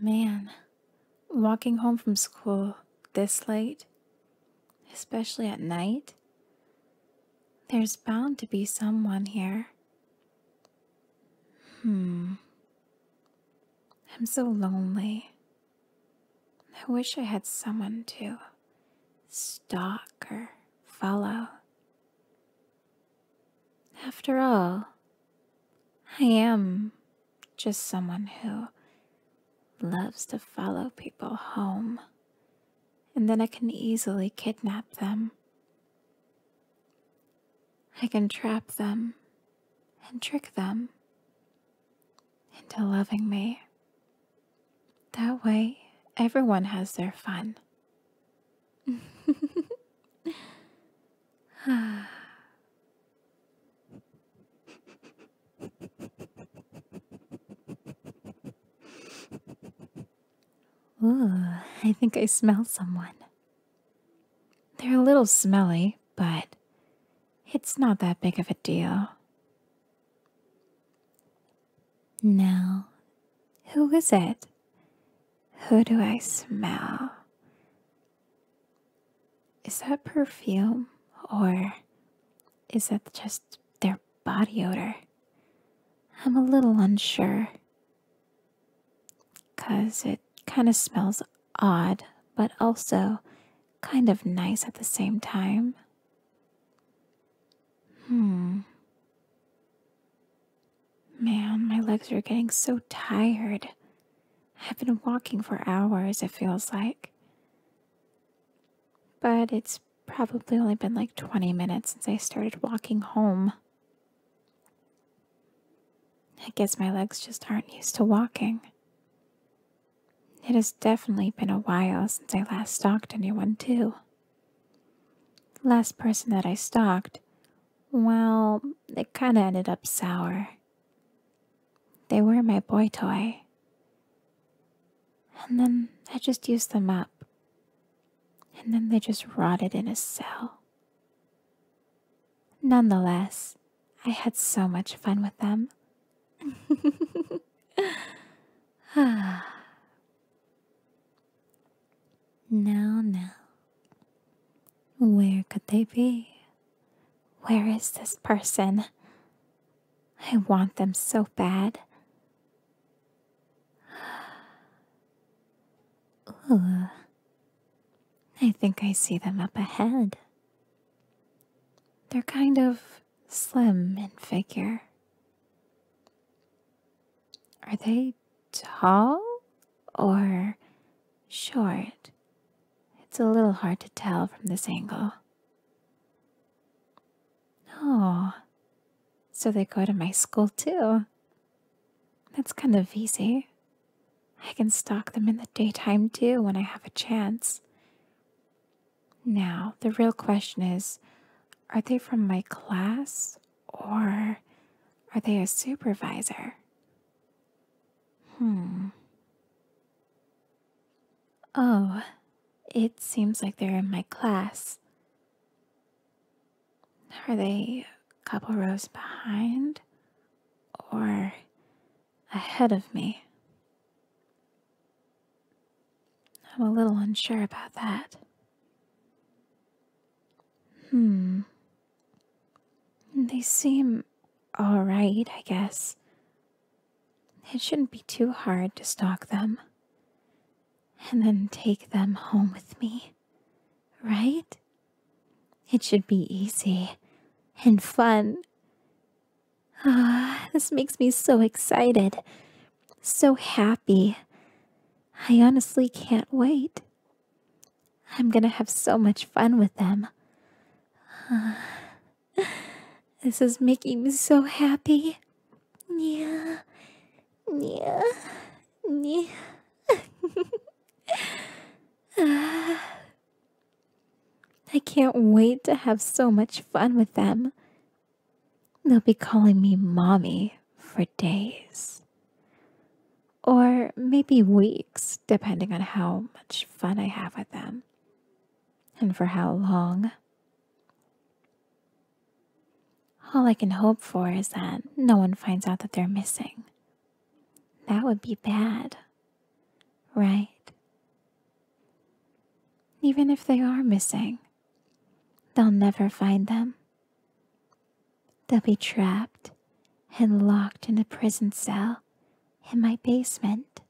Man, walking home from school this late, especially at night, there's bound to be someone here. Hmm. I'm so lonely. I wish I had someone to stalk or follow. After all, I am just someone who loves to follow people home, and then I can easily kidnap them. I can trap them and trick them into loving me. That way, everyone has their fun. Ooh, I think I smell someone. They're a little smelly, but it's not that big of a deal. Now, who is it? Who do I smell? Is that perfume or is that just their body odor? I'm a little unsure. Because it kind of smells odd, but also kind of nice at the same time. Hmm. Man, my legs are getting so tired. I've been walking for hours, it feels like. But it's probably only been like 20 minutes since I started walking home. I guess my legs just aren't used to walking. It has definitely been a while since I last stalked anyone, too last person that I stalked, well, it kinda ended up sour. They were my boy toy. And then I just used them up. And then they just rotted in a cell. Nonetheless, I had so much fun with them. Now, now, where could they be? Where is this person? I want them so bad. Ooh, I think I see them up ahead. They're kind of slim in figure. Are they tall or short? It's a little hard to tell from this angle. Oh, so they go to my school too. That's kind of easy. I can stalk them in the daytime too when I have a chance. Now, the real question is are they from my class or are they a supervisor? Hmm. Oh, it seems like they're in my class. Are they a couple rows behind or ahead of me? I'm a little unsure about that. Hmm. They seem alright, I guess. It shouldn't be too hard to stalk them. And then take them home with me, right? It should be easy and fun. Ah, this makes me so excited, so happy. I honestly can't wait. I'm gonna have so much fun with them. this is making me so happy. Yeah, yeah, yeah. I can't wait to have so much fun with them They'll be calling me mommy for days. Or maybe weeks, depending on how much fun I have with them and for how long. All I can hope for is that no one finds out that they're missing. That would be bad, right? Even if they are missing, They'll never find them. They'll be trapped and locked in a prison cell in my basement.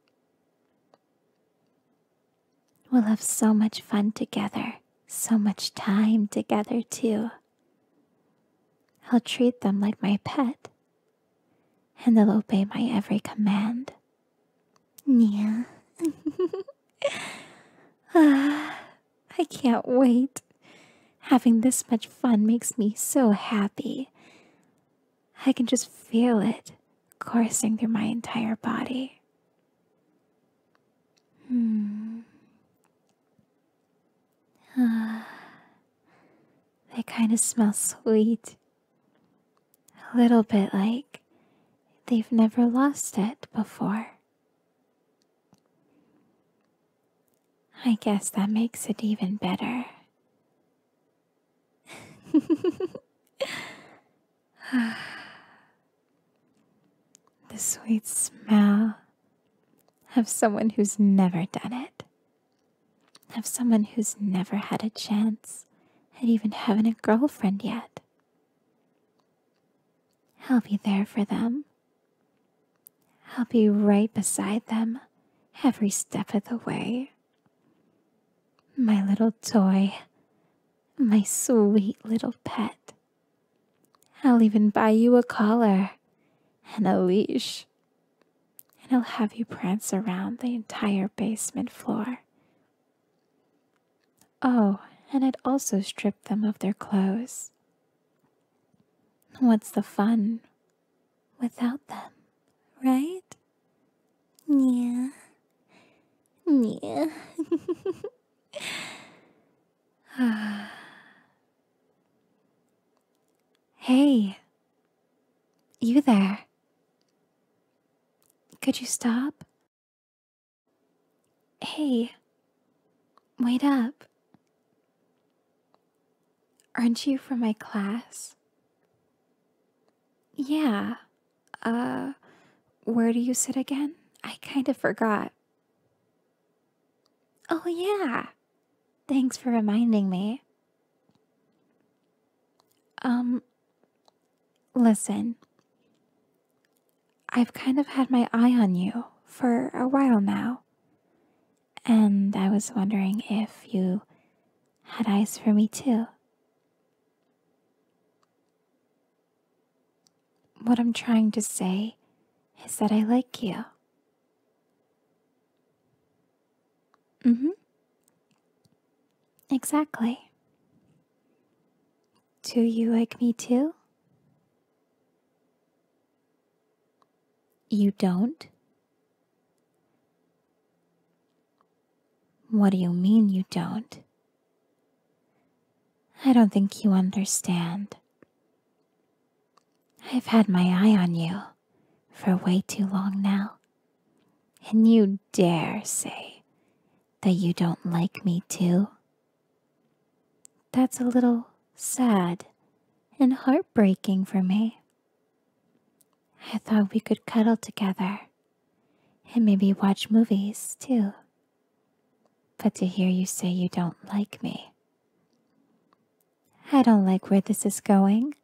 We'll have so much fun together, so much time together, too. I'll treat them like my pet, and they'll obey my every command. Yeah. ah, I can't wait. Having this much fun makes me so happy. I can just feel it coursing through my entire body. Hmm. Ah, they kind of smell sweet. A little bit like They've never lost it before. I guess that makes it even better. the sweet smell of someone who's never done it, of someone who's never had a chance and even haven't a girlfriend yet. I'll be there for them. I'll be right beside them every step of the way. My little toy, my sweet little pet. I'll even buy you a collar and a leash, and I'll have you prance around the entire basement floor. Oh, and I'd also stripped them of their clothes. What's the fun without them, right? Yeah. Yeah. hey, you there. Could you stop? Hey, wait up. Aren't you from my class? Yeah. Uh, where do you sit again? I kind of forgot. Oh, yeah. Thanks for reminding me. Um, Listen, I've kind of had my eye on you for a while now, and I was wondering if you had eyes for me too. What I'm trying to say is that I like you. hmm. Exactly. Do you like me too? You don't? What do you mean you don't? I don't think you understand. I've had my eye on you for way too long now, and you dare say that you don't like me too? That's a little sad and heartbreaking for me. I thought we could cuddle together and maybe watch movies too. But to hear you say you don't like me, I don't like where this is going.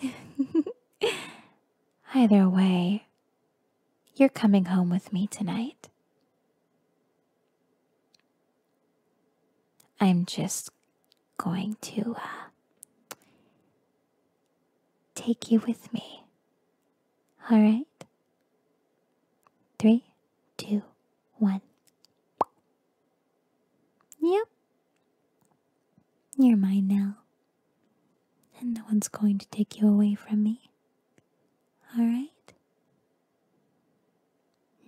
Either way, you're coming home with me tonight. I'm just going to uh, take you with me. All right? Three, two, one. Yep. You're mine now. And no one's going to take you away from me. Alright?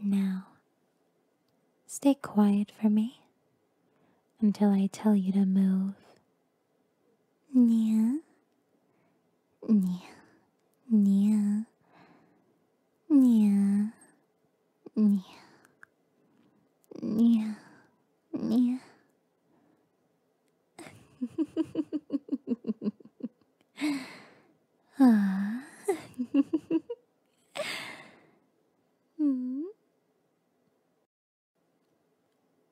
Now, stay quiet for me until I tell you to move. Nya, nya, nya, nya, nya, nya, 你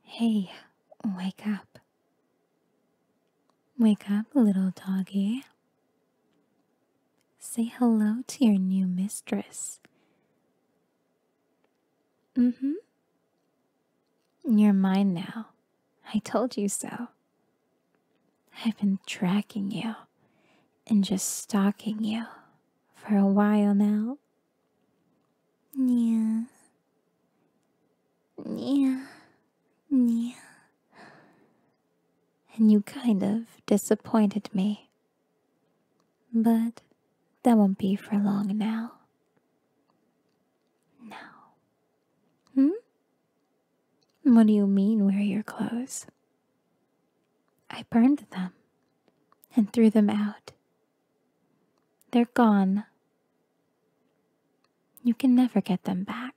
Hey, wake up. Wake up, little doggy. Say hello to your new mistress. Mm mm-hmm. hmm. You're mine now. I told you so. I've been tracking you and just stalking you for a while now. Yeah. Yeah. Yeah. And you kind of disappointed me but that won't be for long now. Now. Hmm? What do you mean, wear your clothes? I burned them and threw them out. They're gone. You can never get them back.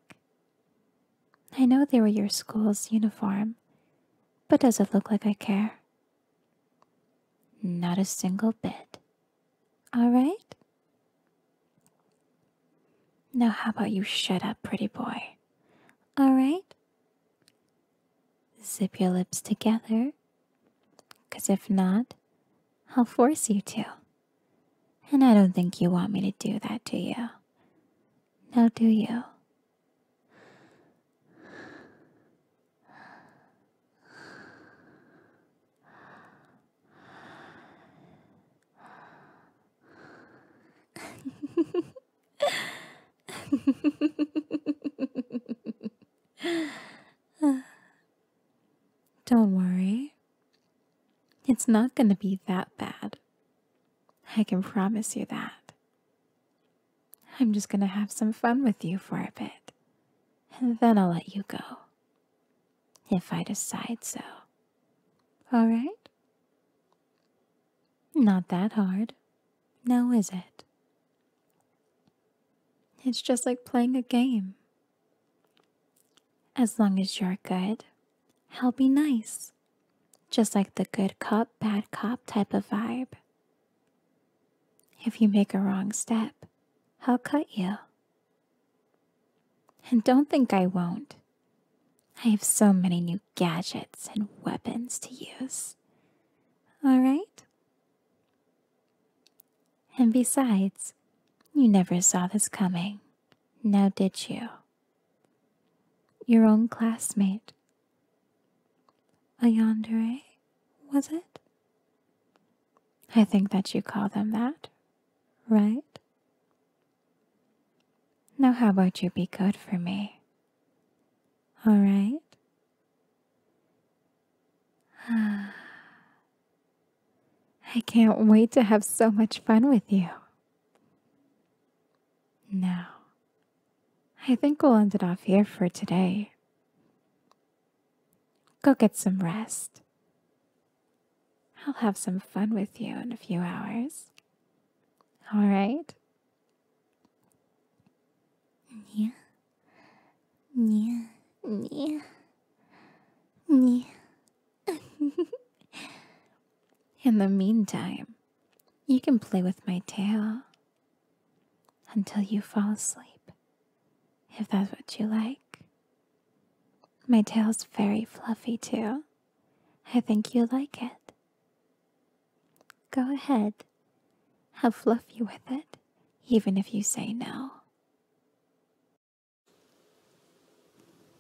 I know they were your school's uniform, but does it look like I care? Not a single bit. All right? Now, how about you shut up, pretty boy? All right? Zip your lips together, because if not, I'll force you to. And I don't think you want me to do that, do you? Now, do you? Don't worry. It's not going to be that bad. I can promise you that. I'm just going to have some fun with you for a bit, and then I'll let you go. If I decide so. Alright? Not that hard, now is it? It's just like playing a game. As long as you're good, I'll be nice. Just like the good cop, bad cop type of vibe. If you make a wrong step, I'll cut you. And don't think I won't. I have so many new gadgets and weapons to use. All right? And besides, you never saw this coming, now did you? Your own classmate. A yandere, was it? I think that you call them that, right? Now, how about you be good for me? All right? I can't wait to have so much fun with you. Now, I think we'll end it off here for today. Go get some rest. I'll have some fun with you in a few hours. All right? Yeah. Yeah. Yeah. Yeah. in the meantime, you can play with my tail until you fall asleep, if that's what you like. My tail's very fluffy, too. I think you'll like it. Go ahead, have fluffy with it, even if you say no.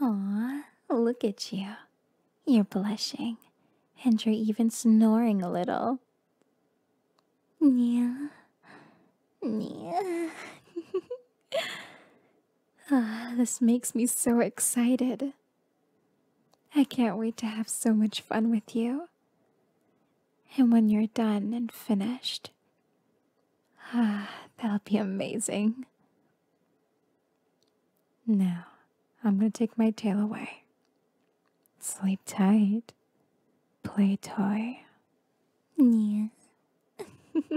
Aw, look at you. You're blushing, and you're even snoring a little. Yeah. Yeah. ah, this makes me so excited. I can't wait to have so much fun with you. And when you're done and finished, ah, that'll be amazing. Now, I'm going to take my tail away. Sleep tight. Play toy. Yes.